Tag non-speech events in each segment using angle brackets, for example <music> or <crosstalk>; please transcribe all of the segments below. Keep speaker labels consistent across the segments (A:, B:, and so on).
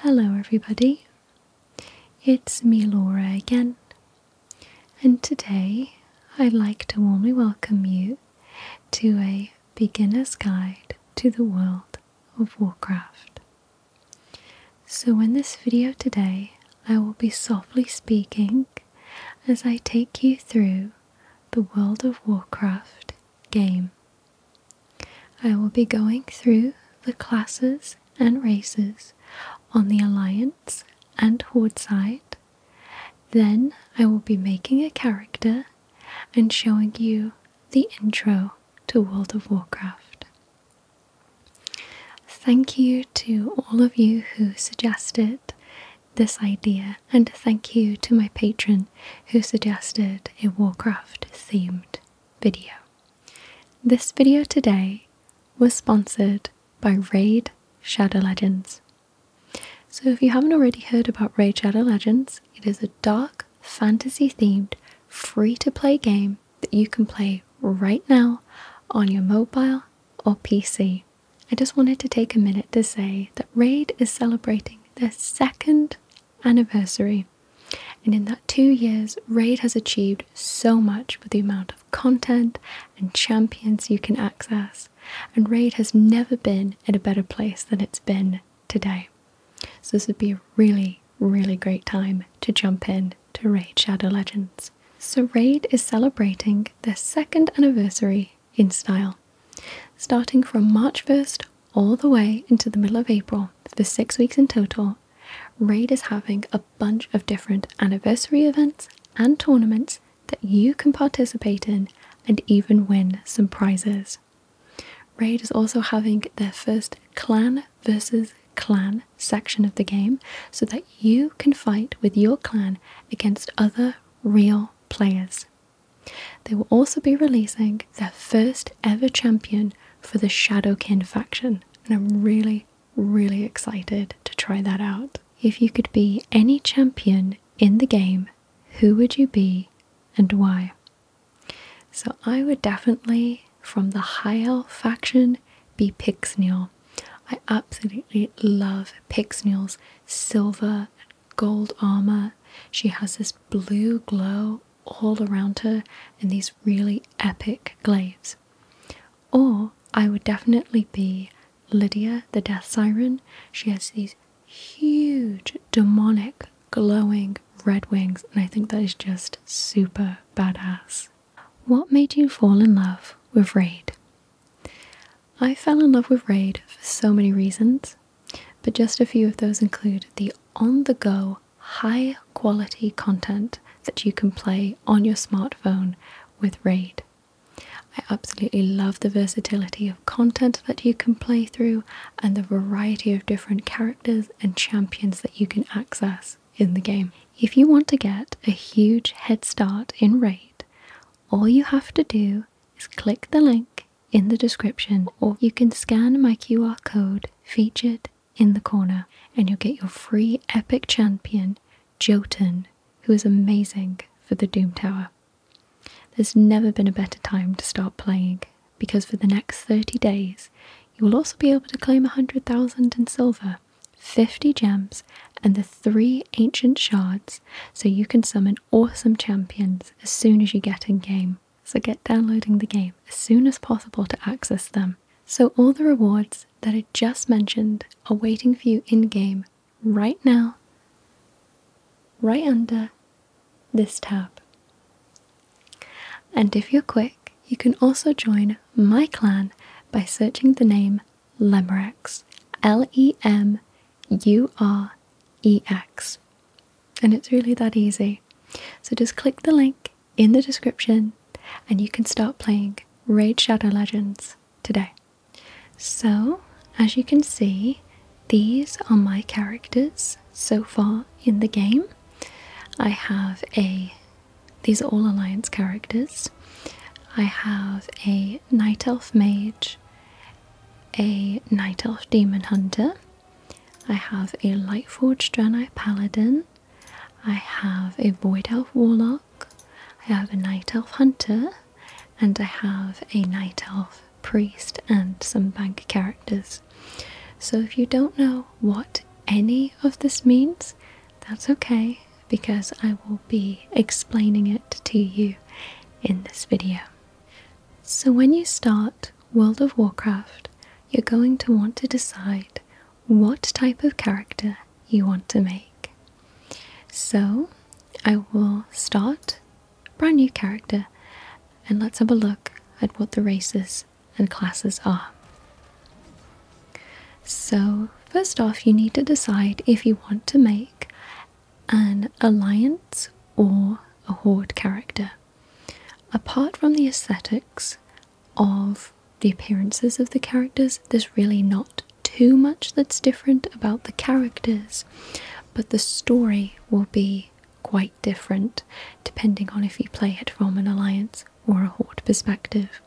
A: Hello, everybody. It's me, Laura, again, and today I'd like to warmly welcome you to a beginner's guide to the world of Warcraft. So, in this video today, I will be softly speaking as I take you through the World of Warcraft game I will be going through the classes and races on the Alliance and Horde side. Then I will be making a character and showing you the intro to World of Warcraft. Thank you to all of you who suggested this idea, and thank you to my patron who suggested a Warcraft themed video. This video today was sponsored by Raid Shadow Legends. So, if you haven't already heard about Raid Shadow Legends, it is a dark fantasy themed free to play game that you can play right now on your mobile or PC. I just wanted to take a minute to say that Raid is celebrating their second anniversary. And in that two years, Raid has achieved so much with the amount of content and champions you can access, and Raid has never been in a better place than it's been today. So, this would be a really, really great time to jump in to Raid Shadow Legends. So, Raid is celebrating their second anniversary in style. Starting from March 1st all the way into the middle of April, for six weeks in total, Raid is having a bunch of different anniversary events and tournaments that you can participate in and even win some prizes. Raid is also having their first clan versus clan section of the game so that you can fight with your clan against other real players. They will also be releasing their first ever champion for the Shadowkin faction, and I'm really, really excited to try that out. If you could be any champion in the game, who would you be and why? So I would definitely, from the High Elf faction, be Pixnial. I absolutely love Pixnial's silver and gold armor. She has this blue glow all around her in these really epic glaives. Or I would definitely be Lydia, the death siren. She has these huge, demonic, glowing red wings, and I think that is just super badass. What made you fall in love with Raid? I fell in love with Raid for so many reasons but just a few of those include the on the go, high quality content that you can play on your smartphone with RAID. I absolutely love the versatility of content that you can play through and the variety of different characters and champions that you can access in the game. If you want to get a huge head start in RAID, all you have to do is click the link in the description, or you can scan my QR code featured in the corner, and you'll get your free epic champion, Jotun, who is amazing for the Doom Tower. There's never been a better time to start playing because for the next 30 days you will also be able to claim 100,000 in silver, 50 gems, and the three ancient shards so you can summon awesome champions as soon as you get in game so get downloading the game as soon as possible to access them. So, all the rewards that I just mentioned are waiting for you in game right now, right under this tab. And if you're quick, you can also join my clan by searching the name Lemurex. L E M U R E X. And it's really that easy. So just click the link in the description and you can start playing Raid Shadow Legends today. So, as you can see, these are my characters so far in the game. I have a, these are all alliance characters. I have a Night Elf Mage, a Night Elf Demon Hunter, I have a Lightforged Draenei Paladin. I have a Void Elf Warlock. I have a Night Elf Hunter. And I have a Night Elf Priest and some bank characters. So if you don't know what any of this means, that's okay because I will be explaining it to you in this video. So when you start World of Warcraft, you're going to want to decide what type of character you want to make. So I will start brand new character and let's have a look at what the races and classes are. So first off you need to decide if you want to make an alliance or a horde character. Apart from the aesthetics of the appearances of the characters, there's really not too much that's different about the characters, but the story will be quite different depending on if you play it from an alliance or a horde perspective.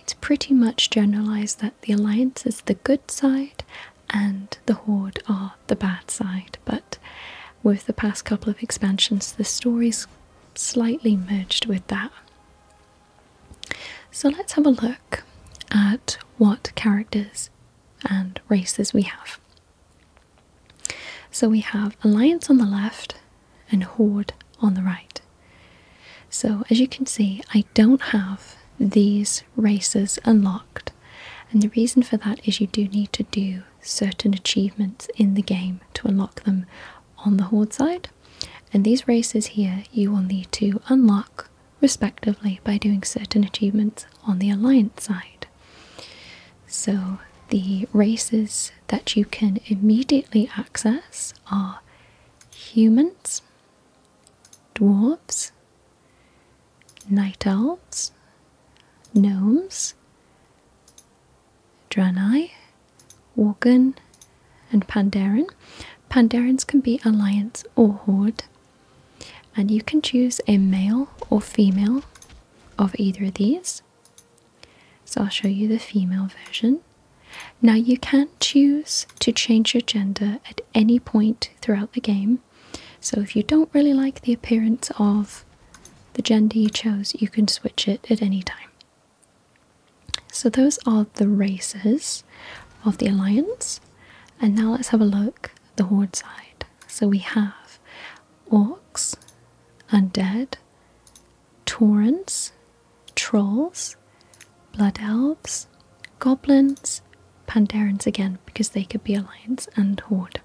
A: It's pretty much generalized that the alliance is the good side and the Horde are the bad side, but with the past couple of expansions, the story's slightly merged with that. So let's have a look at what characters and races we have. So we have Alliance on the left and Horde on the right. So as you can see, I don't have these races unlocked and the reason for that is you do need to do certain achievements in the game to unlock them on the Horde side. And these races here you will need to unlock respectively by doing certain achievements on the Alliance side. So the races that you can immediately access are humans, dwarves, night elves, gnomes, Draenei, Worgen, and Pandaren. Pandaren can be alliance or horde, and you can choose a male or female of either of these. So I'll show you the female version. Now you can choose to change your gender at any point throughout the game so if you don't really like the appearance of the gender you chose, you can switch it at any time. So those are the races of the alliance. And now let's have a look at the horde side. So we have orcs, undead, torrents, trolls, blood elves, goblins, Pandarans again because they could be alliance and horde.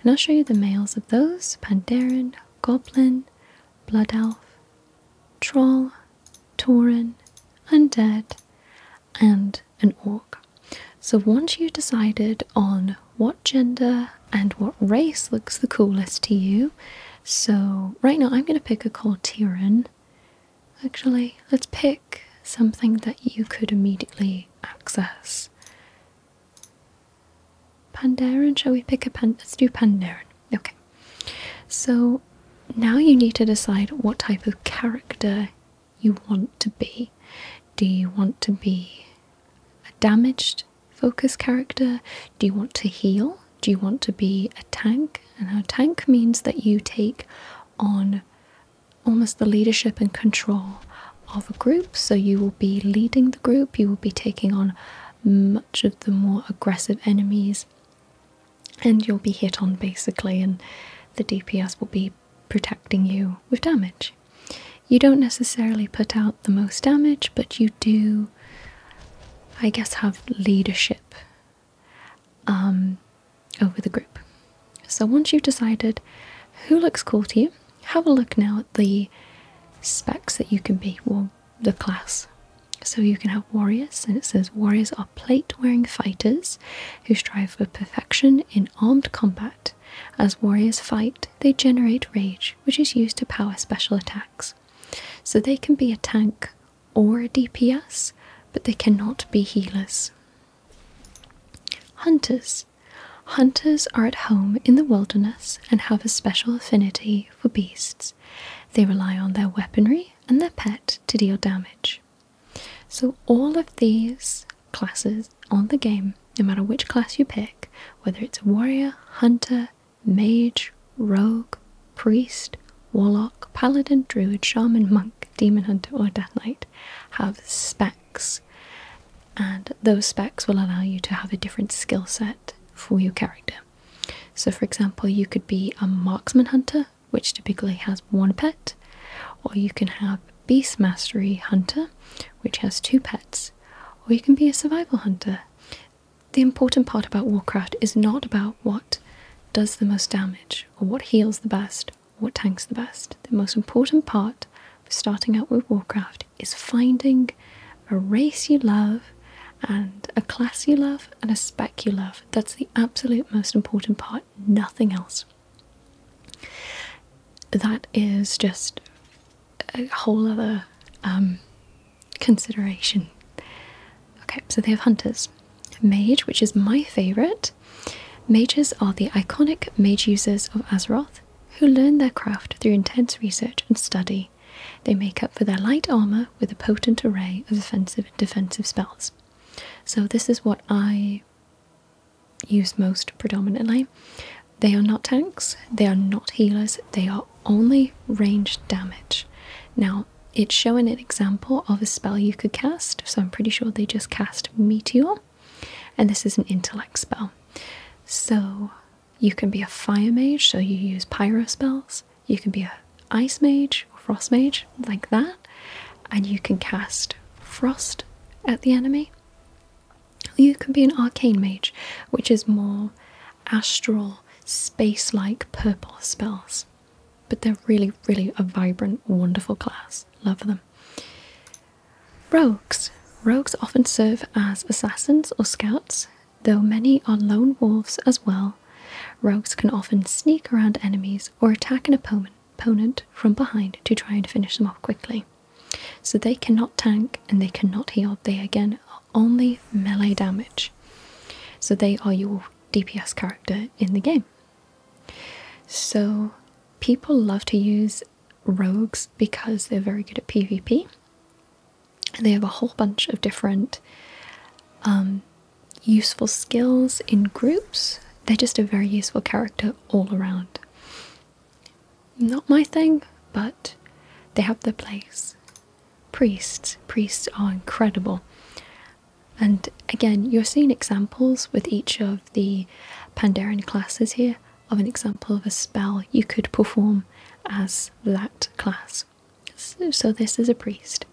A: And I'll show you the males of those Pandaren, Goblin, Blood Elf, Troll, Tauren, Undead, and an Orc. So once you've decided on what gender and what race looks the coolest to you, so right now I'm going to pick a called Tyrion. Actually, let's pick something that you could immediately access. Pandaren, shall we pick a Pandaren? Let's do Pandaren. Okay. So now you need to decide what type of character you want to be. Do you want to be a damaged focus character? Do you want to heal? Do you want to be a tank? And a tank means that you take on almost the leadership and control of a group. So you will be leading the group, you will be taking on much of the more aggressive enemies, and you'll be hit on basically, and the DPS will be protecting you with damage. You don't necessarily put out the most damage, but you do, I guess, have leadership. Um, over the group. So once you've decided who looks cool to you, have a look now at the specs that you can be, or the class. So you can have warriors, and it says warriors are plate wearing fighters who strive for perfection in armed combat. As warriors fight, they generate rage, which is used to power special attacks. So they can be a tank or a DPS, but they cannot be healers. Hunters. Hunters are at home in the wilderness and have a special affinity for beasts. They rely on their weaponry and their pet to deal damage. So, all of these classes on the game, no matter which class you pick, whether it's a warrior, hunter, mage, rogue, priest, warlock, paladin, druid, shaman, monk, demon hunter, or death knight, have spe and those specs will allow you to have a different skill set for your character. So, for example, you could be a marksman hunter, which typically has one pet, or you can have beast mastery hunter, which has two pets, or you can be a survival hunter. The important part about Warcraft is not about what does the most damage or what heals the best what tank's the best. The most important part of starting out with Warcraft is finding a race you love and a class you love and a spec you love. That's the absolute most important part, nothing else. That is just a whole other um, consideration. Okay, so they have hunters. Mage, which is my favourite, Mages are the iconic mage users of Azeroth who learn their craft through intense research and study. They make up for their light armor with a potent array of offensive and defensive spells. So, this is what I use most predominantly. They are not tanks, they are not healers, they are only ranged damage. Now, it's showing an example of a spell you could cast, so I'm pretty sure they just cast Meteor and this is an intellect spell. So you can be a fire mage, so you use pyro spells. You can be a ice mage or frost mage, like that, and you can cast frost at the enemy. You can be an arcane mage, which is more astral, space like purple spells. But they're really, really a vibrant, wonderful class. Love them. Rogues. Rogues often serve as assassins or scouts, though many are lone wolves as well. Rogues can often sneak around enemies or attack an opponent from behind to try and finish them off quickly. So they cannot tank and they cannot heal. They again are only melee damage. So they are your DPS character in the game. So, people love to use rogues because they're very good at PvP. They have a whole bunch of different um, useful skills in groups. They're just a very useful character all around. Not my thing, but they have their place. Priests. Priests are incredible. And again, you're seeing examples with each of the Pandaren classes here of an example of a spell you could perform as that class. So, so this is a priest.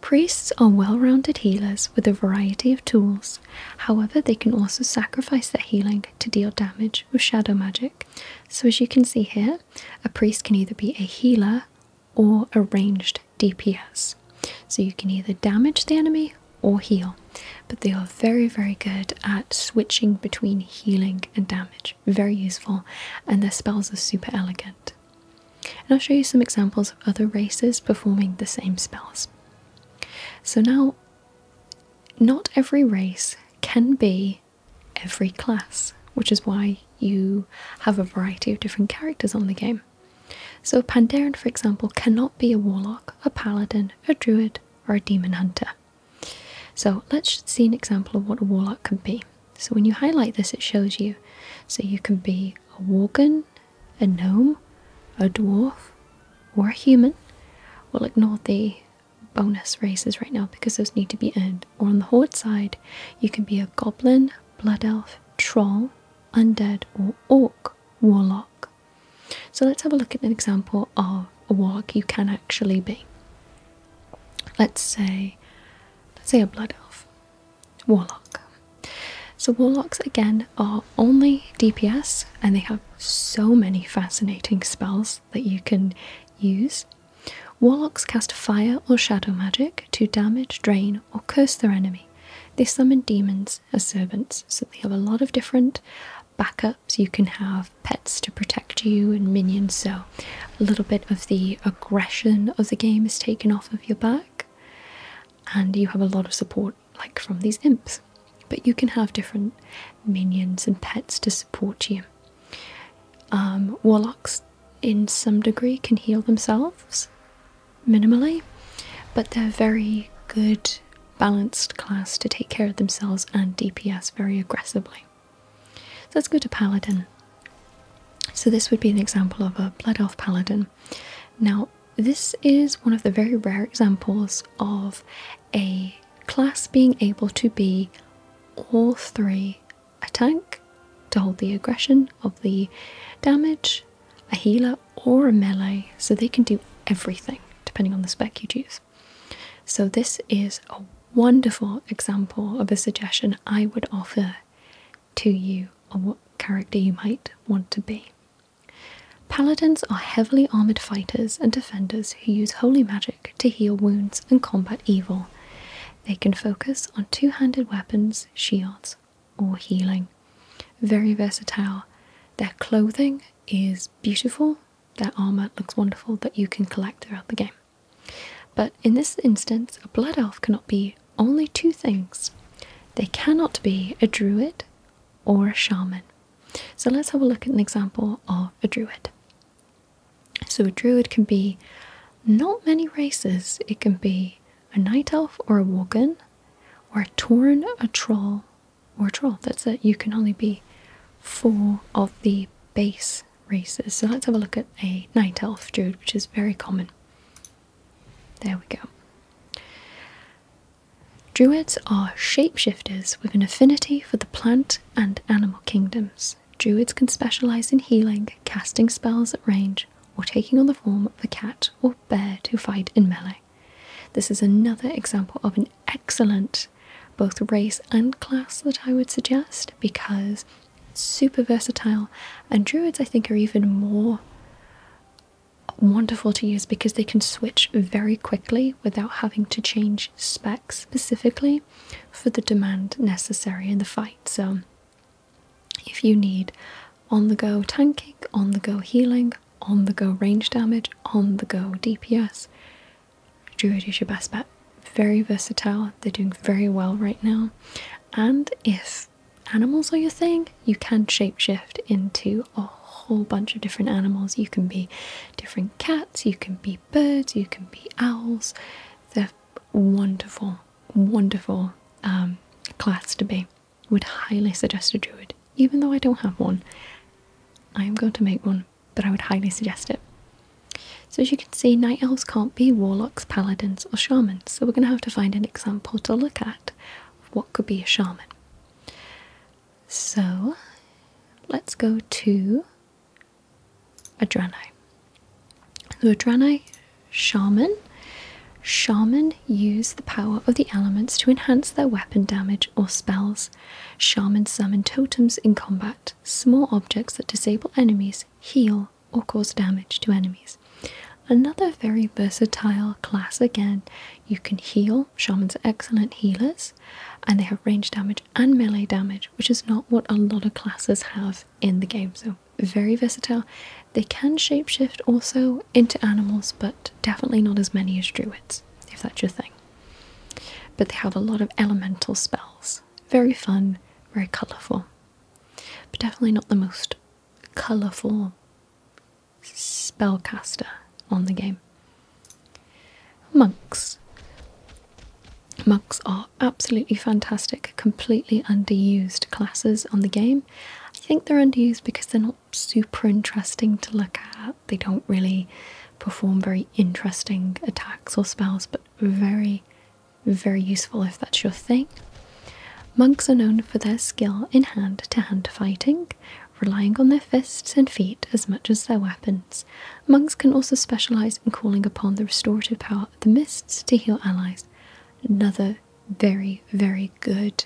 A: Priests are well rounded healers with a variety of tools, however, they can also sacrifice their healing to deal damage with shadow magic. So, as you can see here, a priest can either be a healer or a ranged DPS. So you can either damage the enemy or heal, but they are very, very good at switching between healing and damage. Very useful, and their spells are super elegant. And I'll show you some examples of other races performing the same spells. So now, not every race can be every class, which is why you have a variety of different characters on the game. So, Pandaren, for example, cannot be a warlock, a paladin, a druid, or a demon hunter. So, let's see an example of what a warlock can be. So, when you highlight this, it shows you. So, you can be a worgen, a gnome, a dwarf, or a human. We'll ignore the bonus races right now because those need to be earned. Or on the horde side, you can be a goblin, blood elf, troll, undead, or orc, warlock, so let's have a look at an example of a warg you can actually be. Let's say, let's say a blood elf, warlock. So warlocks again are only DPS, and they have so many fascinating spells that you can use. Warlocks cast fire or shadow magic to damage, drain, or curse their enemy. They summon demons, as servants. So they have a lot of different backups. You can have pets to protect you and minions. So a little bit of the aggression of the game is taken off of your back, and you have a lot of support, like from these imps. But you can have different minions and pets to support you. Um, warlocks, in some degree, can heal themselves minimally, but they're very good, balanced class to take care of themselves and DPS very aggressively. So let's go to Paladin. So this would be an example of a Blood Elf Paladin. Now, this is one of the very rare examples of a class being able to be all three a tank to hold the aggression of the damage a healer, or a melee, so they can do everything depending on the spec you choose. So, this is a wonderful example of a suggestion I would offer to you on what character you might want to be. Paladins are heavily armoured fighters and defenders who use holy magic to heal wounds and combat evil. They can focus on two handed weapons, shields, or healing. Very versatile. Their clothing is beautiful, their armor looks wonderful that you can collect throughout the game. But in this instance, a blood elf cannot be only two things they cannot be a druid or a shaman. So let's have a look at an example of a druid. So, a druid can be not many races, it can be a night elf or a worgen, or a torn a troll or a troll. That's it. You can only be four of the base races. So let's have a look at a night elf druid, which is very common. There we go. Druids are shapeshifters with an affinity for the plant and animal kingdoms. Druids can specialize in healing, casting spells at range, or taking on the form of a cat or bear to fight in melee. This is another example of an excellent both race and class that I would suggest because it's super versatile and druids I think are even more wonderful to use because they can switch very quickly without having to change specs specifically for the demand necessary in the fight. So if you need on the go tanking, on the go healing, on the go range damage, on the go DPS, Druid is your best bet. Very versatile, they're doing very well right now. And if animals are your thing, you can shapeshift into a whole bunch of different animals. You can be different cats, you can be birds, you can be owls. They're wonderful, wonderful um, class to be would highly suggest a druid, even though I don't have one. I am going to make one, but I would highly suggest it. So as you can see, night elves can't be warlocks, paladins, or shamans, so we're going to have to find an example to look at what could be a shaman. So let's go to a Adranai. So Adranai Shaman. Shaman use the power of the elements to enhance their weapon damage or spells. Shaman summon totems in combat, small objects that disable enemies, heal, or cause damage to enemies. Another very versatile class again. You can heal. Shamans are excellent healers, and they have range damage and melee damage, which is not what a lot of classes have in the game. So, very versatile. They can shapeshift also into animals, but definitely not as many as druids, if that's your thing. But they have a lot of elemental spells. Very fun, very colourful. But definitely not the most colourful spellcaster on the game. Monks. Monks are absolutely fantastic, completely underused classes on the game. I think they're underused because they're not super interesting to look at. They don't really perform very interesting attacks or spells, but very, very useful if that's your thing. Monks are known for their skill in hand to hand fighting, relying on their fists and feet as much as their weapons. Monks can also specialise in calling upon the restorative power of the mists to heal allies. Another very, very good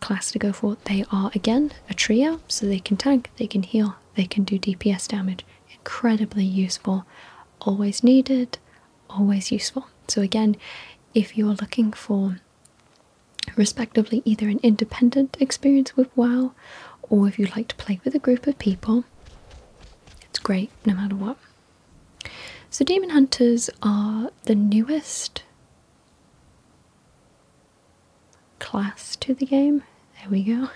A: class to go for. They are, again, a trio, so they can tank, they can heal, they can do DPS damage. Incredibly useful, always needed, always useful. So, again, if you're looking for respectively either an independent experience with WoW or if you like to play with a group of people, it's great no matter what. So, Demon Hunters are the newest class to the game. There we go.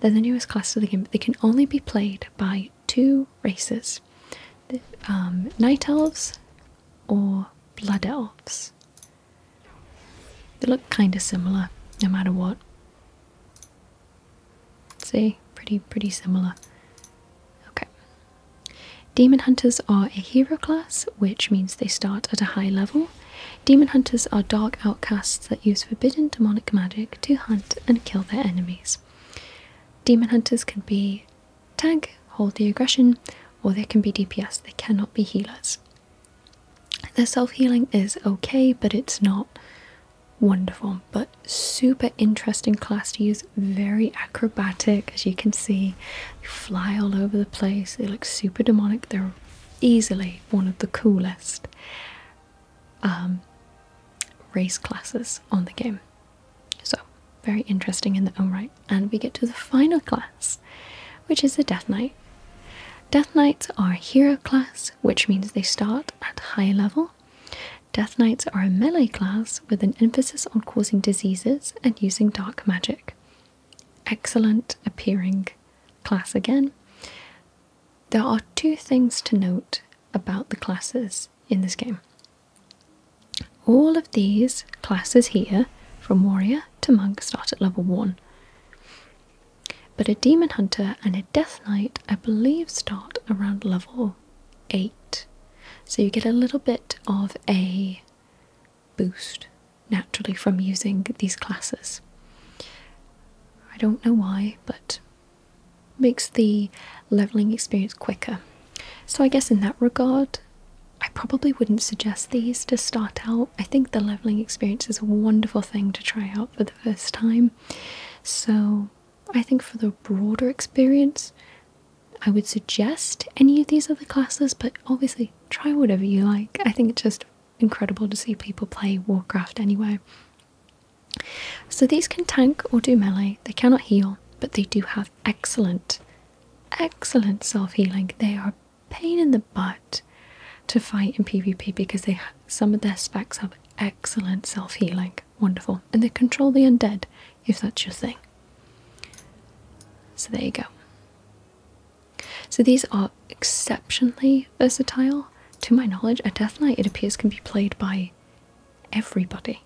A: They're the newest class to the game, but they can only be played by two races um, Night Elves or Blood Elves. They look kind of similar, no matter what. See? Pretty, pretty similar. Okay. Demon Hunters are a hero class, which means they start at a high level. Demon Hunters are dark outcasts that use forbidden demonic magic to hunt and kill their enemies. Demon Hunters can be tag, hold the aggression, or they can be DPS, they cannot be healers. Their self healing is okay, but it's not wonderful, but super interesting class to use very acrobatic, as you can see. They fly all over the place. They look super demonic. They're easily one of the coolest um, race classes on the game. So, very interesting in their own right. And we get to the final class, which is the Death Knight. Death Knights are hero class, which means they start at high level Death Knights are a melee class with an emphasis on causing diseases and using dark magic. Excellent appearing class again. There are two things to note about the classes in this game. All of these classes here, from warrior to monk, start at level 1. But a demon hunter and a death knight, I believe, start around level 8. So you get a little bit of a boost naturally from using these classes. I don't know why, but makes the leveling experience quicker. So I guess in that regard, I probably wouldn't suggest these to start out. I think the leveling experience is a wonderful thing to try out for the first time. So I think for the broader experience, I would suggest any of these other classes, but obviously try whatever you like. I think it's just incredible to see people play Warcraft anyway. So these can tank or do melee, they cannot heal, but they do have excellent, excellent self healing. They are pain in the butt to fight in PvP because they some of their specs have excellent self healing. Wonderful. And they control the undead if that's your thing. So there you go. So these are exceptionally versatile. To my knowledge, a Death Knight, it appears, can be played by everybody.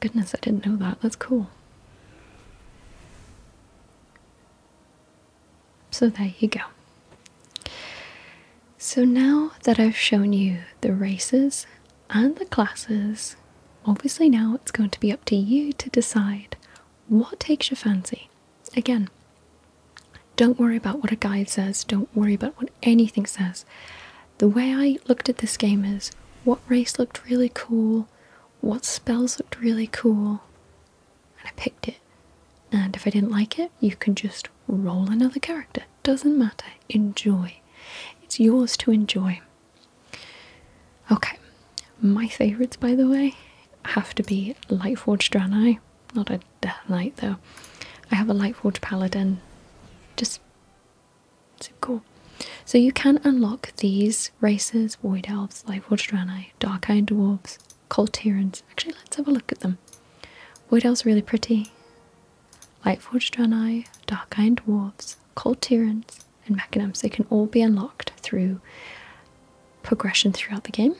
A: Goodness, I didn't know that. That's cool. So there you go. So now that I've shown you the races and the classes. Obviously, now it's going to be up to you to decide what takes your fancy. Again, don't worry about what a guide says, don't worry about what anything says. The way I looked at this game is what race looked really cool, what spells looked really cool, and I picked it. And if I didn't like it, you can just roll another character. Doesn't matter. Enjoy. It's yours to enjoy. Okay, my favourites by the way have to be Lightforge Draenei, not a Death Knight though. I have a Lightforge Paladin, just so cool. So you can unlock these races, Void Elves, Lightforge Draenei, Dark-Eyed Dwarves, Cold Tyrants. Actually, let's have a look at them. Void Elves really pretty. Lightforged Draenei, Dark Iron Dwarves, Cold Tyrants, and Mechanims. They can all be unlocked through progression throughout the game.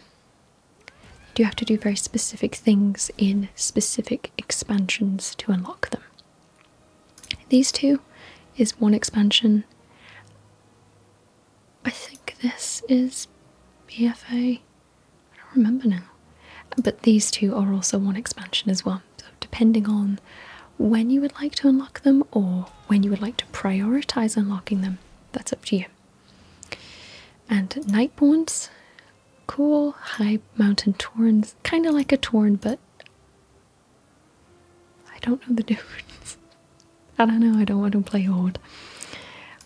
A: You have to do very specific things in specific expansions to unlock them. These two is one expansion. I think this is BFA. I don't remember now. But these two are also one expansion as well. So depending on when you would like to unlock them or when you would like to prioritize unlocking them, that's up to you. And Nightborns, cool high mountain torns, kind of like a torn, but I don't know the <laughs> difference. I don't know, I don't want to play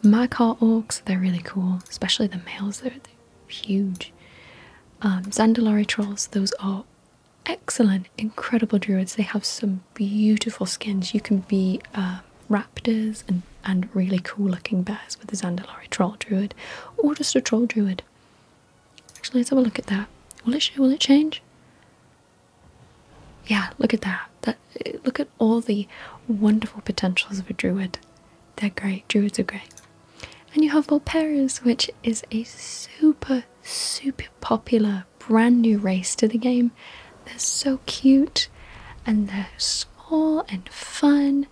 A: My car orcs, they're really cool, especially the males. They're, huge. Um, Zandalari Trolls, those are excellent, incredible druids. They have some beautiful skins. You can be um, raptors and, and really cool looking bears with a Zandalari Troll Druid, or just a Troll Druid. Actually, let's have a look at that. Will it, will it change? Yeah, look at that. That look at all the wonderful potentials of a druid. They're great. Druids are great. And you have Volperas, which is a super, super popular brand new race to the game. They're so cute and they're small and fun,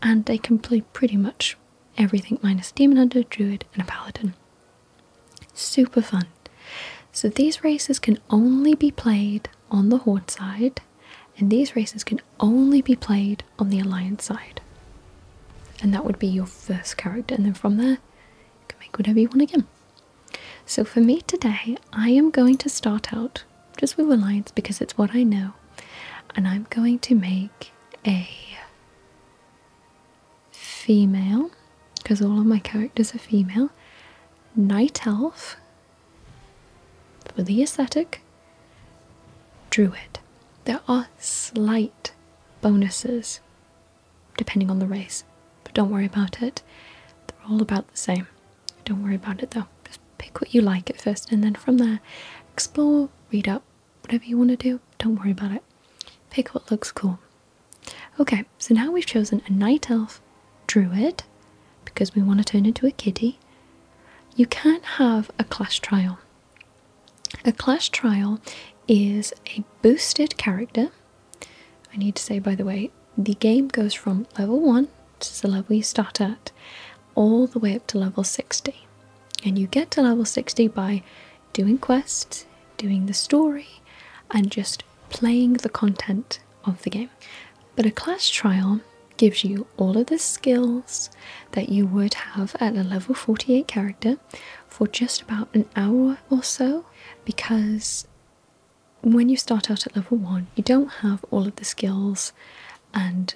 A: and they can play pretty much everything minus Demon Hunter, Druid, and a Paladin. Super fun. So these races can only be played on the Horde side, and these races can only be played on the Alliance side. And that would be your first character, and then from there, you can make whatever you want again. So for me today, I am going to start out just with Alliance because it's what I know, and I'm going to make a female, because all of my characters are female, Night Elf for the aesthetic, Druid. There are slight bonuses depending on the race, but don't worry about it. They're all about the same. Don't worry about it though. Just pick what you like at first, and then from there, explore, read up, whatever you want to do. Don't worry about it. Pick what looks cool. Okay, so now we've chosen a night elf druid because we want to turn into a kitty. You can have a clash trial. A clash trial is a boosted character. I need to say, by the way, the game goes from level 1, which is the level you start at, all the way up to level 60. And you get to level 60 by doing quests, doing the story, and just playing the content of the game. But a clash trial gives you all of the skills, that you would have at a level 48 character for just about an hour or so because when you start out at level 1 you don't have all of the skills and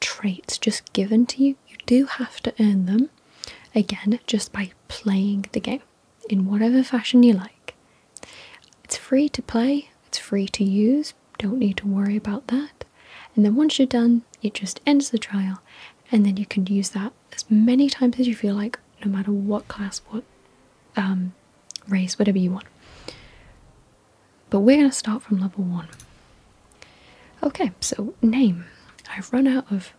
A: traits just given to you you do have to earn them again just by playing the game in whatever fashion you like it's free to play it's free to use don't need to worry about that. And then once you're done, it just ends the trial, and then you can use that as many times as you feel like, no matter what class, what um, race, whatever you want. But we're going to start from level one. Okay, so name. I've run out of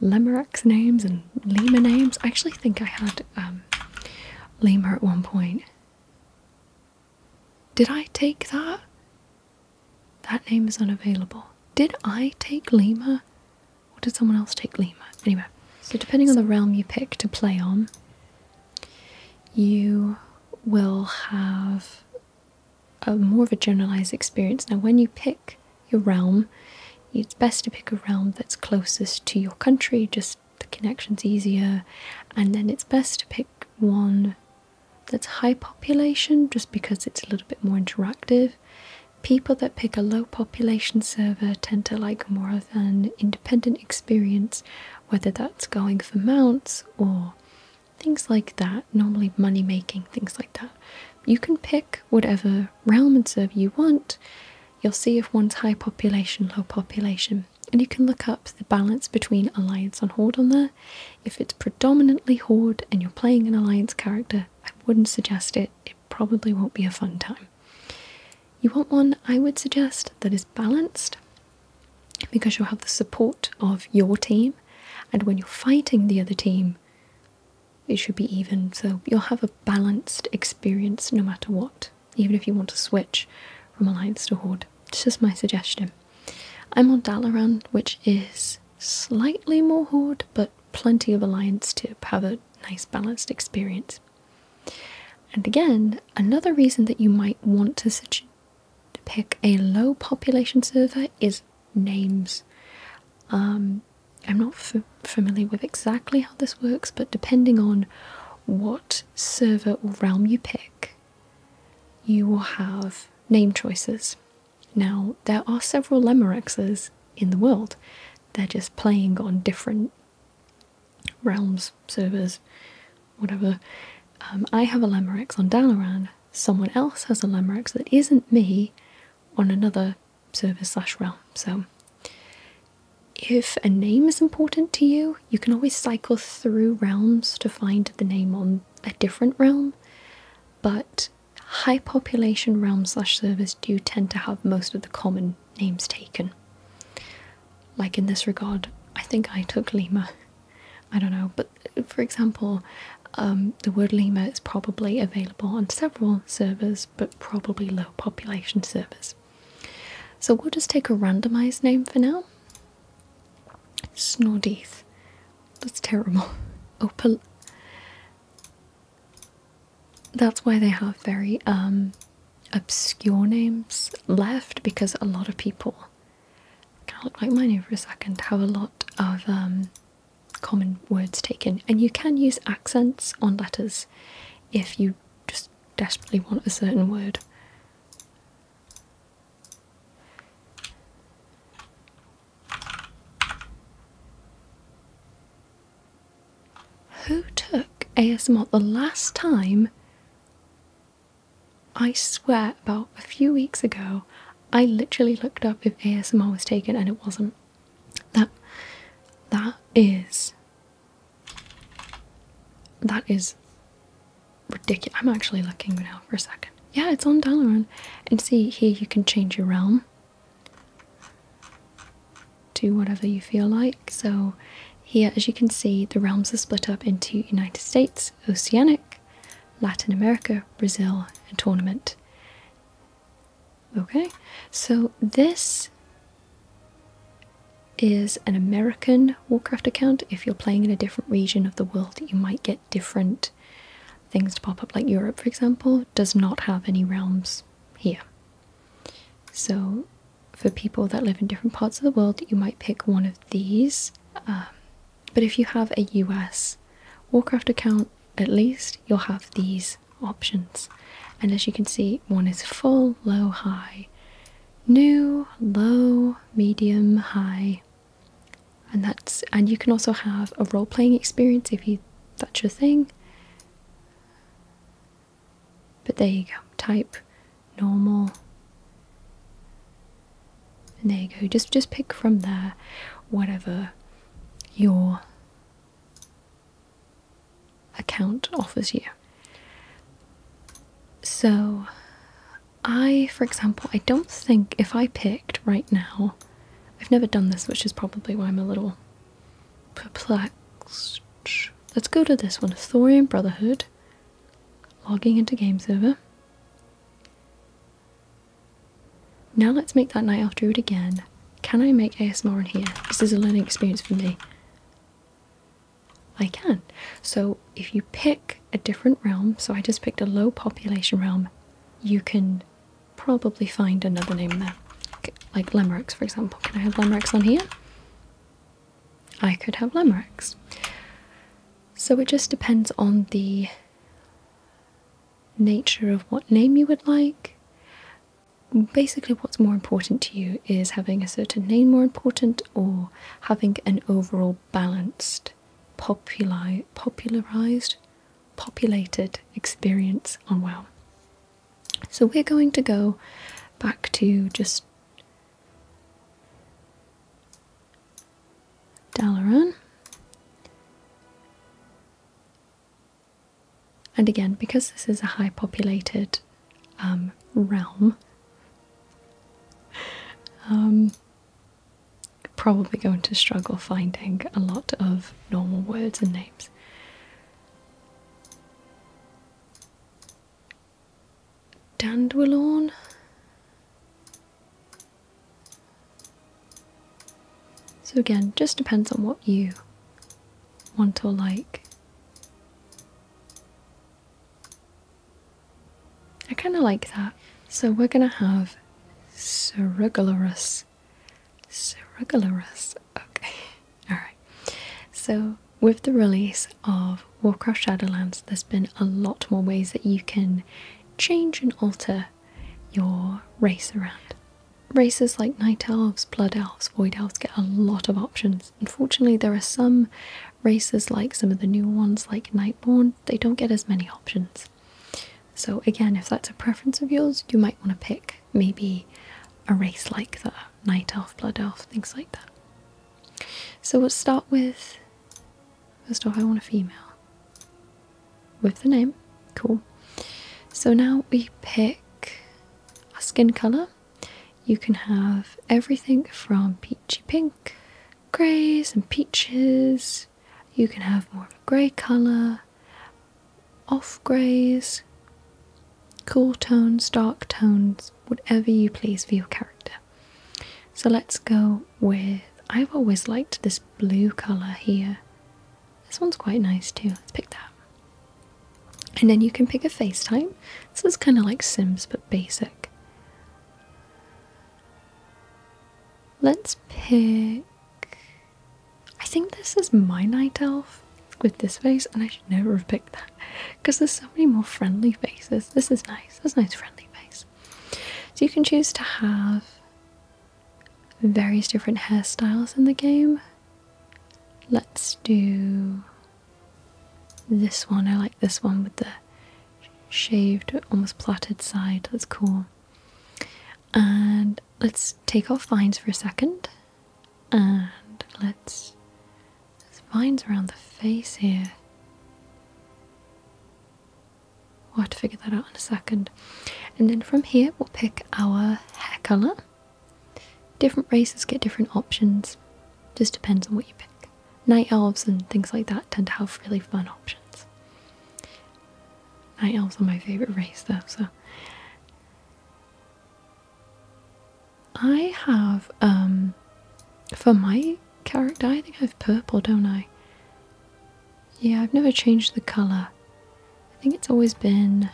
A: Limericks names and Lima names. I actually think I had um, Lemur at one point. Did I take that? That name is unavailable. Did I take Lima? Or did someone else take Lima? Anyway, so depending on the realm you pick to play on, you will have a more of a generalized experience. Now, when you pick your realm, it's best to pick a realm that's closest to your country, just the connection's easier, and then it's best to pick one that's high population just because it's a little bit more interactive. People that pick a low population server tend to like more of an independent experience, whether that's going for mounts or things like that, normally money making, things like that. You can pick whatever realm and server you want. You'll see if one's high population, low population and you can look up the balance between Alliance and Horde on there. If it's predominantly Horde and you're playing an Alliance character, I wouldn't suggest it. It probably won't be a fun time. You want one I would suggest that is balanced because you'll have the support of your team, and when you're fighting the other team, it should be even. So you'll have a balanced experience no matter what, even if you want to switch from Alliance to Horde. It's just my suggestion. I'm on Dalaran, which is slightly more Horde, but plenty of Alliance to have a nice balanced experience. And again, another reason that you might want to pick a low population server is names. Um, I'm not familiar with exactly how this works, but depending on what server or realm you pick, you will have name choices. Now, there are several Limerexes in the world, they're just playing on different realms, servers, whatever. Um, I have a Limerex on Daloran. someone else has a Limerex that isn't me on another server slash realm. So, if a name is important to you, you can always cycle through realms to find the name on a different realm, but high population realms servers do tend to have most of the common names taken. Like in this regard, I think I took Lima. <laughs> I don't know, but for example, um, the word Lima is probably available on several servers, but probably low population servers. So we'll just take a randomized name for now. Snordeeth. That's terrible. <laughs> Opal. Oh, That's why they have very um, obscure names left because a lot of people kind of look like mine over a second. Have a lot of um, common words taken, and you can use accents on letters if you just desperately want a certain word. Who took ASMR the last time? I swear, about a few weeks ago, I literally looked up if ASMR was taken and it wasn't. That that is that is ridiculous. I'm actually looking now for a second. Yeah, it's on Dalaran. And see, here you can change your realm. Do whatever you feel like. So, here, as you can see, the realms are split up into United States, Oceanic, Latin America, Brazil, and Tournament. Okay, so this is an American Warcraft account. If you're playing in a different region of the world, you might get different things to pop up, like Europe, for example, does not have any realms here. So, for people that live in different parts of the world, you might pick one of these. Um, but if you have a US Warcraft account, at least you'll have these options. And as you can see, one is full, low, high, new, low, medium, high, and that's and you can also have a role-playing experience if you that's your thing but there you go type normal and there you go just just pick from there whatever your account offers you so I, for example, I don't think if I picked right now, I've never done this, which is probably why I'm a little perplexed. Let's go to this one Thorium Brotherhood, logging into game server. Now let's make that night elf druid again. Can I make ASMR in here? This is a learning experience for me. I can. So if you pick a different realm, so I just picked a low population realm, you can probably find another name there. like limericks, for example. Can I have limericks on here? I could have limericks. So it just depends on the nature of what name you would like. Basically, what's more important to you is having a certain name more important or having an overall balanced, popularized, populated experience on well. So we're going to go back to just Dalaran. And again, because this is a high populated um, realm, um, probably going to struggle finding a lot of normal words and names. Dandelion. So again, just depends on what you want or like. I kind of like that. So we're going to have Cerugularus. Cerugularus. Okay. <laughs> Alright. So with the release of Warcraft Shadowlands, there's been a lot more ways that you can change and alter your race around. Races like Night Elves, Blood Elves, Void Elves get a lot of options. Unfortunately, there are some races, like some of the new ones, like Nightborn, they don't get as many options. So, again, if that's a preference of yours, you might want to pick maybe a race like the Night Elf, Blood Elf, things like that. So, let's start with first off, I want a female with the name. Cool. So, now we pick our skin color. You can have everything from peachy pink greys and peaches. You can have more of a grey colour, off greys, cool tones, dark tones, whatever you please for your character. So let's go with. I've always liked this blue colour here. This one's quite nice too. Let's pick that. And then you can pick a face type. This is kind of like Sims but basic. Let's pick. I think this is my night elf with this face, and I should never have picked that because there's so many more friendly faces. This is nice. That's a nice friendly face. So you can choose to have various different hairstyles in the game. Let's do. This one, I like this one with the shaved, almost plaited side. That's cool. And let's take off vines for a second. And let's. There's vines around the face here. We'll have to figure that out in a second. And then from here, we'll pick our hair colour. Different races get different options, just depends on what you pick night elves and things like that tend to have really fun options. Night elves are my favourite race though, so I have um for my character I think I have purple, don't I? Yeah, I've never changed the colour. I think it's always been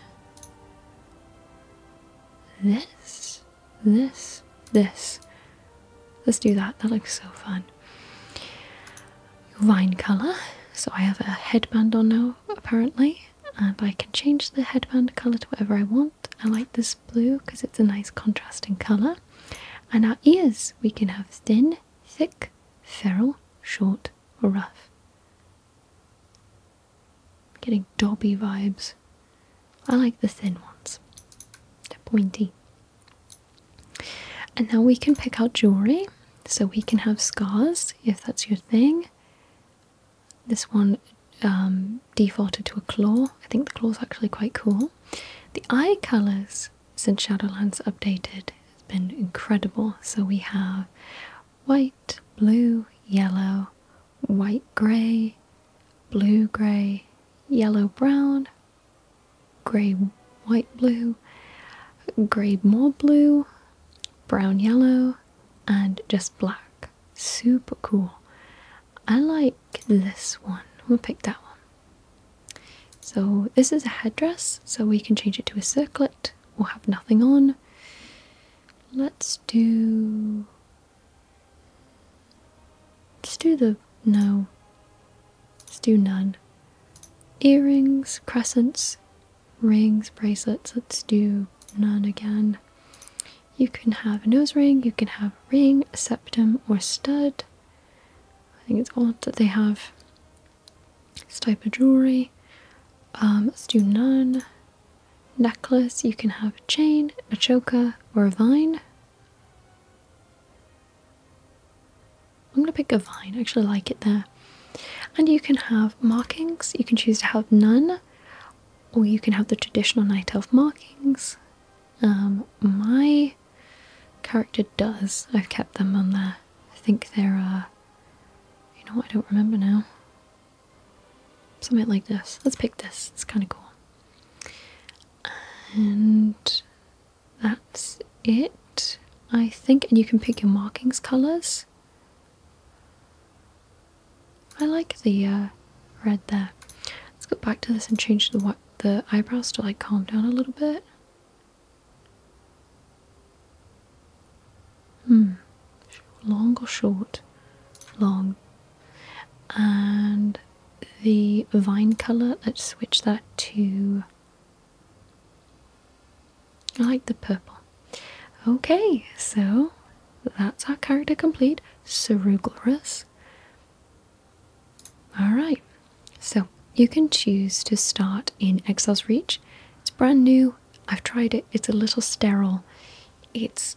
A: this this, this. Let's do that. That looks so fun. Vine color. So I have a headband on now, apparently, and I can change the headband color to whatever I want. I like this blue because it's a nice contrasting color. And our ears, we can have thin, thick, feral, short, or rough. getting Dobby vibes. I like the thin ones. They're pointy. And now we can pick out jewelry. So we can have scars if that's your thing. This one um, defaulted to a claw. I think the claw is actually quite cool. The eye colours since Shadowlands updated has been incredible. So we have white, blue, yellow, white, grey, blue, gray, yellow, brown, gray, white, blue, gray, more blue, brown, yellow, and just black. Super cool. I like this one. We'll pick that one. So this is a headdress, so we can change it to a circlet. We'll have nothing on. Let's do Let's do the no. Let's do none. Earrings, crescents, rings, bracelets. Let's do none again. You can have a nose ring, you can have a ring, a septum, or stud. I think it's odd that they have this type of jewelry. Um, let's do none. Necklace, you can have a chain, a choker, or a vine. I'm gonna pick a vine. I actually like it there. And you can have markings. You can choose to have none, or you can have the traditional night elf markings. Um, my character does. I've kept them on there. I think there are. You know what? I don't remember now. Something like this. Let's pick this. It's kind of cool and that's it I think and you can pick your markings colors I like the uh, red there let's go back to this and change the the eyebrows to like calm down a little bit hmm long or short long and the vine colour, let's switch that to. I like the purple. Okay, so that's our character complete, Ceruglorus. Alright, so you can choose to start in Exile's Reach. It's brand new, I've tried it, it's a little sterile. It's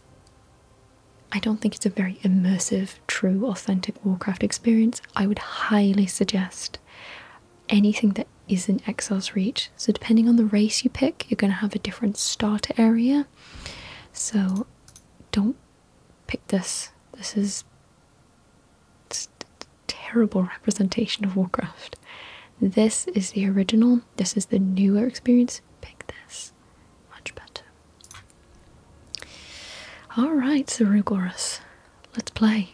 A: I don't think it's a very immersive, true, authentic Warcraft experience. I would highly suggest anything that isn't Exile's Reach. So, depending on the race you pick, you're going to have a different starter area. So, don't pick this. This is terrible representation of Warcraft. This is the original, this is the newer experience. Pick this much better. All right, Zerugoras, let's play.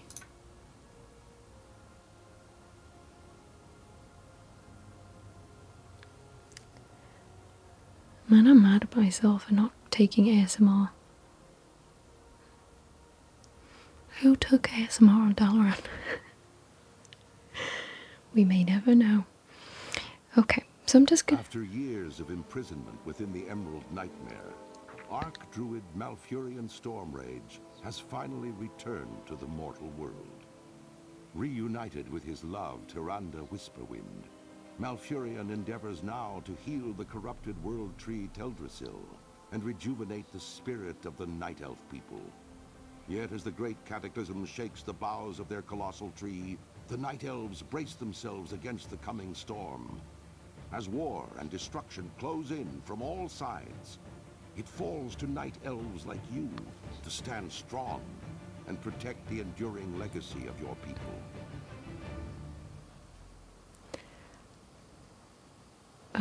A: Man, I'm mad at myself for not taking ASMR. Who took ASMR on <laughs> we may never know. Okay, so I'm just gonna. After years of imprisonment within the Emerald Nightmare, Arc Druid Malfurion Stormrage has finally returned to the mortal world. Reunited with his love, Tyranda Whisperwind, Malfurion endeavors now to heal the corrupted world tree Teldrassil and rejuvenate the spirit of the Night Elf people. Yet as the great cataclysm shakes the boughs of their colossal tree, the Night Elves brace themselves against the coming storm. As war and destruction close in from all sides, it falls to Night Elves like you to stand strong and protect the enduring legacy of your people.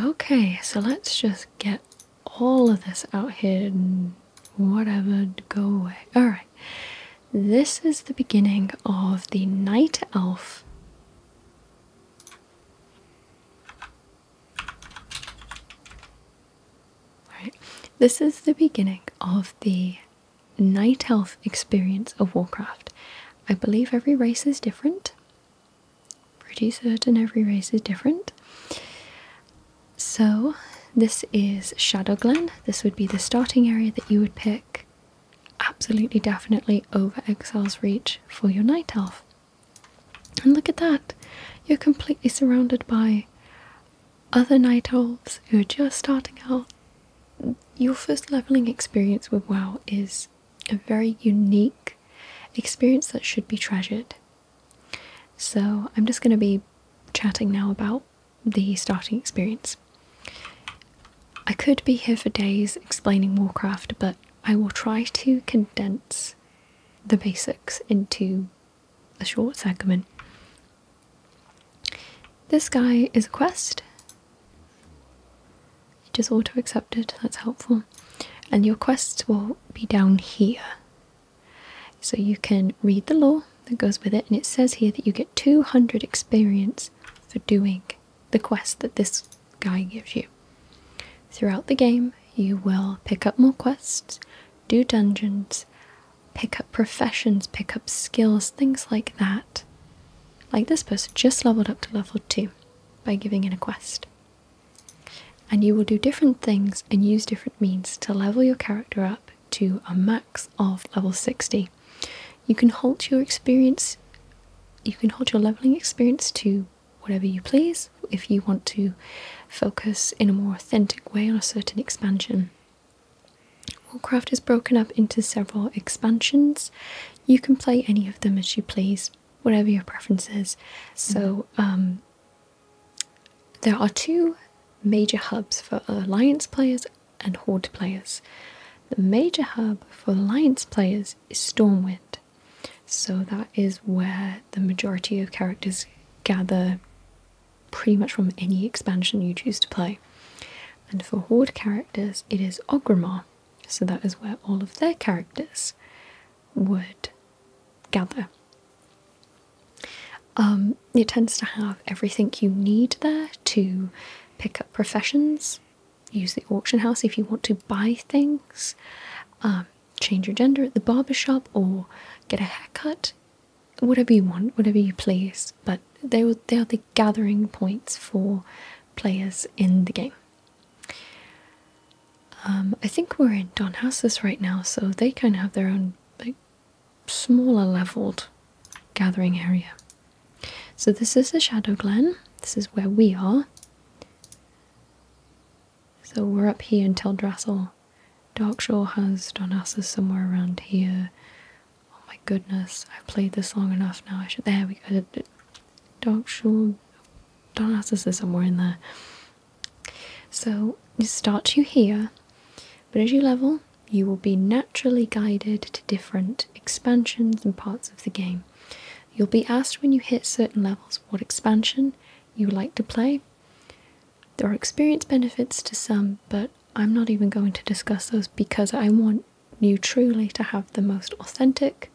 A: Okay, so let's just get all of this out here whatever, go away. Alright, this is the beginning of the night elf. Alright, this is the beginning of the night elf experience of Warcraft. I believe every race is different. Pretty certain every race is different. So, this is Shadow Glen. This would be the starting area that you would pick absolutely definitely over Exile's Reach for your Night Elf. And look at that! You're completely surrounded by other Night Elves who are just starting out. Your first leveling experience with WoW is a very unique experience that should be treasured. So, I'm just going to be chatting now about the starting experience. I could be here for days explaining Warcraft, but I will try to condense the basics into a short segment. This guy is a quest. Just auto accepted, that's helpful. And your quests will be down here. So you can read the law that goes with it, and it says here that you get 200 experience for doing the quest that this guy gives you. Throughout the game, you will pick up more quests, do dungeons, pick up professions, pick up skills, things like that. Like this person just leveled up to level 2 by giving in a quest. And you will do different things and use different means to level your character up to a max of level 60. You can halt your experience, you can halt your leveling experience to whatever you please if you want to focus in a more authentic way on a certain expansion. Warcraft is broken up into several expansions. You can play any of them as you please, whatever your preference is. So, mm-hmm. um, there are two major hubs for Alliance players and Horde players. The major hub for Alliance players is Stormwind, so that is where the majority of characters gather pretty much from any expansion you choose to play. And for Horde characters, it is Ogrimmar, so that is where all of their characters would gather. Um, it tends to have everything you need there to pick up professions, use the auction house if you want to buy things, um, change your gender at the shop or get a haircut. Whatever you want, whatever you please, but they, were, they are the gathering points for players in the game. Um, I think we're in Don Houses right now, so they kind of have their own smaller leveled gathering area. So this is the Shadow Glen. This is where we are. So we're up here until Drassel. Darkshore has Donassus somewhere around here. Oh my goodness, I've played this long enough now. I should there we go. Darkshore Donassus is somewhere in there. So it starts you here, but as you level, you will be naturally guided to different expansions and parts of the game. You'll be asked when you hit certain levels what expansion you like to play. There are experience benefits to some, but I'm not even going to discuss those because I want you truly to have the most authentic,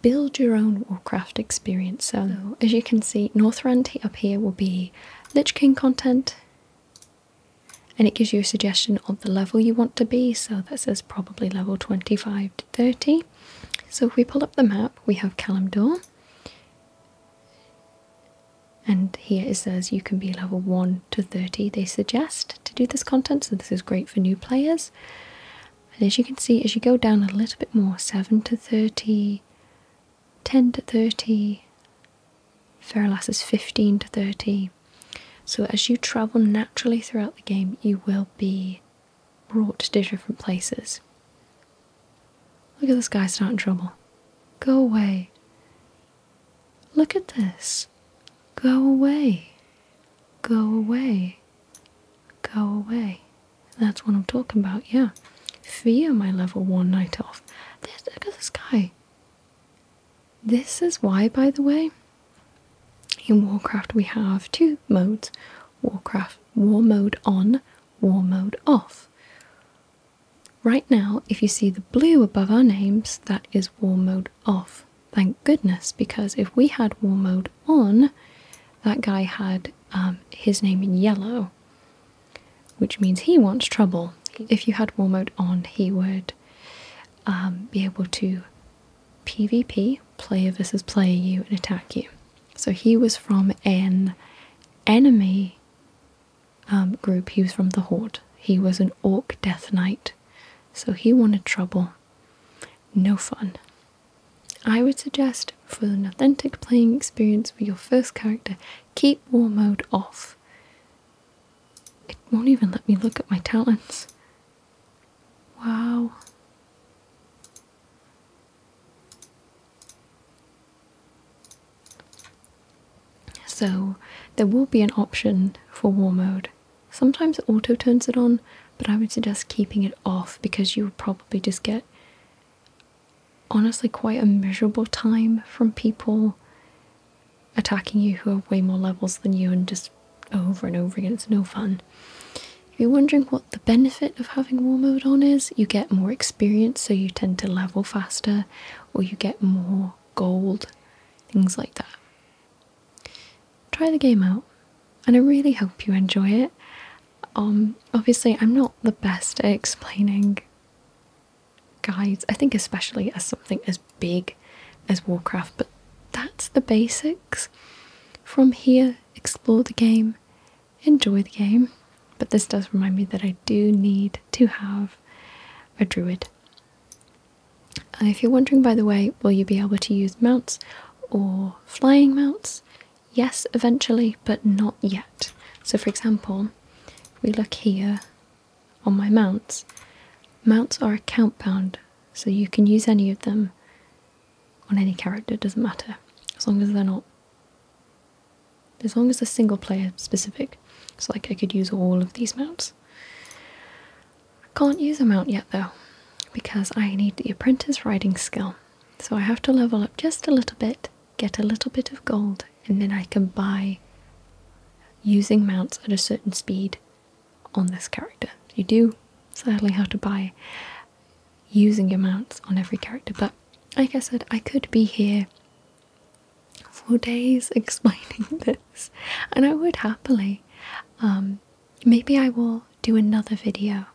A: build your own Warcraft experience. So, as you can see, Northrend up here will be the Lich King content and it gives you a suggestion of the level you want to be. So this says probably level 25 to 30. So if we pull up the map, we have Kalimdor. And here it says you can be level 1 to 30, they suggest, to do this content. So this is great for new players. And as you can see, as you go down a little bit more, 7 to 30, 10 to 30, Ferrolas is 15 to 30. So as you travel naturally throughout the game, you will be brought to different places. Look at this guy starting trouble. Go away. Look at this. Go away. Go away. Go away. That's what I'm talking about, yeah. Fear my level 1 night off. This, look this guy. This is why, by the way, in Warcraft we have two modes. Warcraft War Mode on, War Mode off. Right now, if you see the blue above our names, that is War Mode off. Thank goodness, because if we had War Mode on, that guy had um, his name in yellow which means he wants trouble. If you had war mode on, he would um, be able to PvP, player versus player you, and attack you. So he was from an enemy um, group, he was from the Horde. He was an Orc Death Knight, so he wanted trouble. No fun. I would suggest for an authentic playing experience with your first character, Keep war mode off. It won't even let me look at my talents. Wow. So there will be an option for war mode. Sometimes it auto turns it on, but I would suggest keeping it off because you would probably just get honestly quite a miserable time from people attacking you who have way more levels than you and just over and over again. It's no fun. If you're wondering what the benefit of having war mode on is, you get more experience, so you tend to level faster, or you get more gold, things like that. Try the game out, and I really hope you enjoy it. Um, obviously, I'm not the best at explaining guides, I think, especially as something as big as Warcraft, but that's the basics. From here, explore the game, enjoy the game. But this does remind me that I do need to have a druid. And if you're wondering, by the way, will you be able to use mounts or flying mounts? Yes, eventually, but not yet. So, for example, we look here on my mounts. Mounts are account bound, so you can use any of them on any character, doesn't matter, as long as they're not. As long as they're single player specific. So, like, I could use all of these mounts. I can't use a mount yet though, because I need the apprentice riding skill. So I have to level up just a little bit get a little bit of gold, and then I can buy using mounts at a certain speed on this character. You do sadly have to buy using mounts on every character, but like I said, I could be here for days <laughs> explaining <laughs> this, and I would happily. Um, maybe I will do another video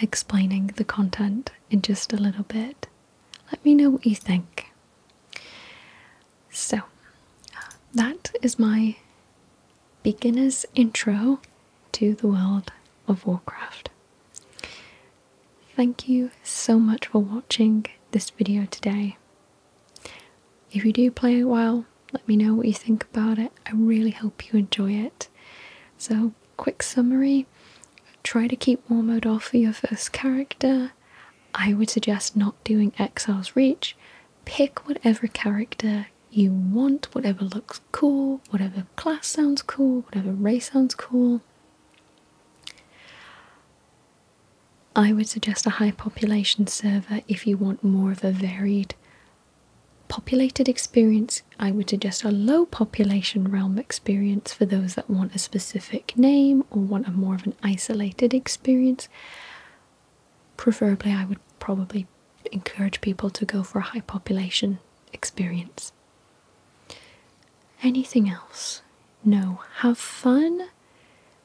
A: explaining the content in just a little bit let me know what you think. So, that is my beginner's intro to the world of Warcraft. Thank you so much for watching this video today. If you do play a while, let me know what you think about it. I really hope you enjoy it. So, quick summary try to keep one off for your first character. I would suggest not doing Exile's Reach. Pick whatever character you want, whatever looks cool, whatever class sounds cool, whatever race sounds cool. I would suggest a high population server if you want more of a varied populated experience I would suggest a low population realm experience for those that want a specific name or want a more of an isolated experience. Preferably, I would probably encourage people to go for a high population experience. Anything else? No. Have fun.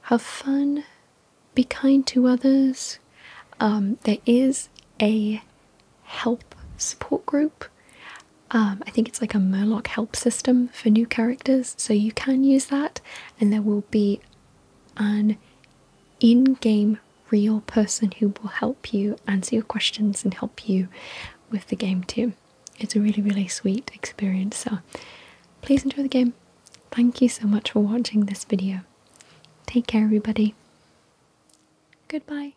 A: Have fun. Be kind to others. Um, there is a help support group. Um, I think it's like a Murloc help system for new characters, so you can use that, and there will be an in game real person who will help you answer your questions and help you with the game too. It's a really, really sweet experience, so please enjoy the game. Thank you so much for watching this video. Take care, everybody. Goodbye.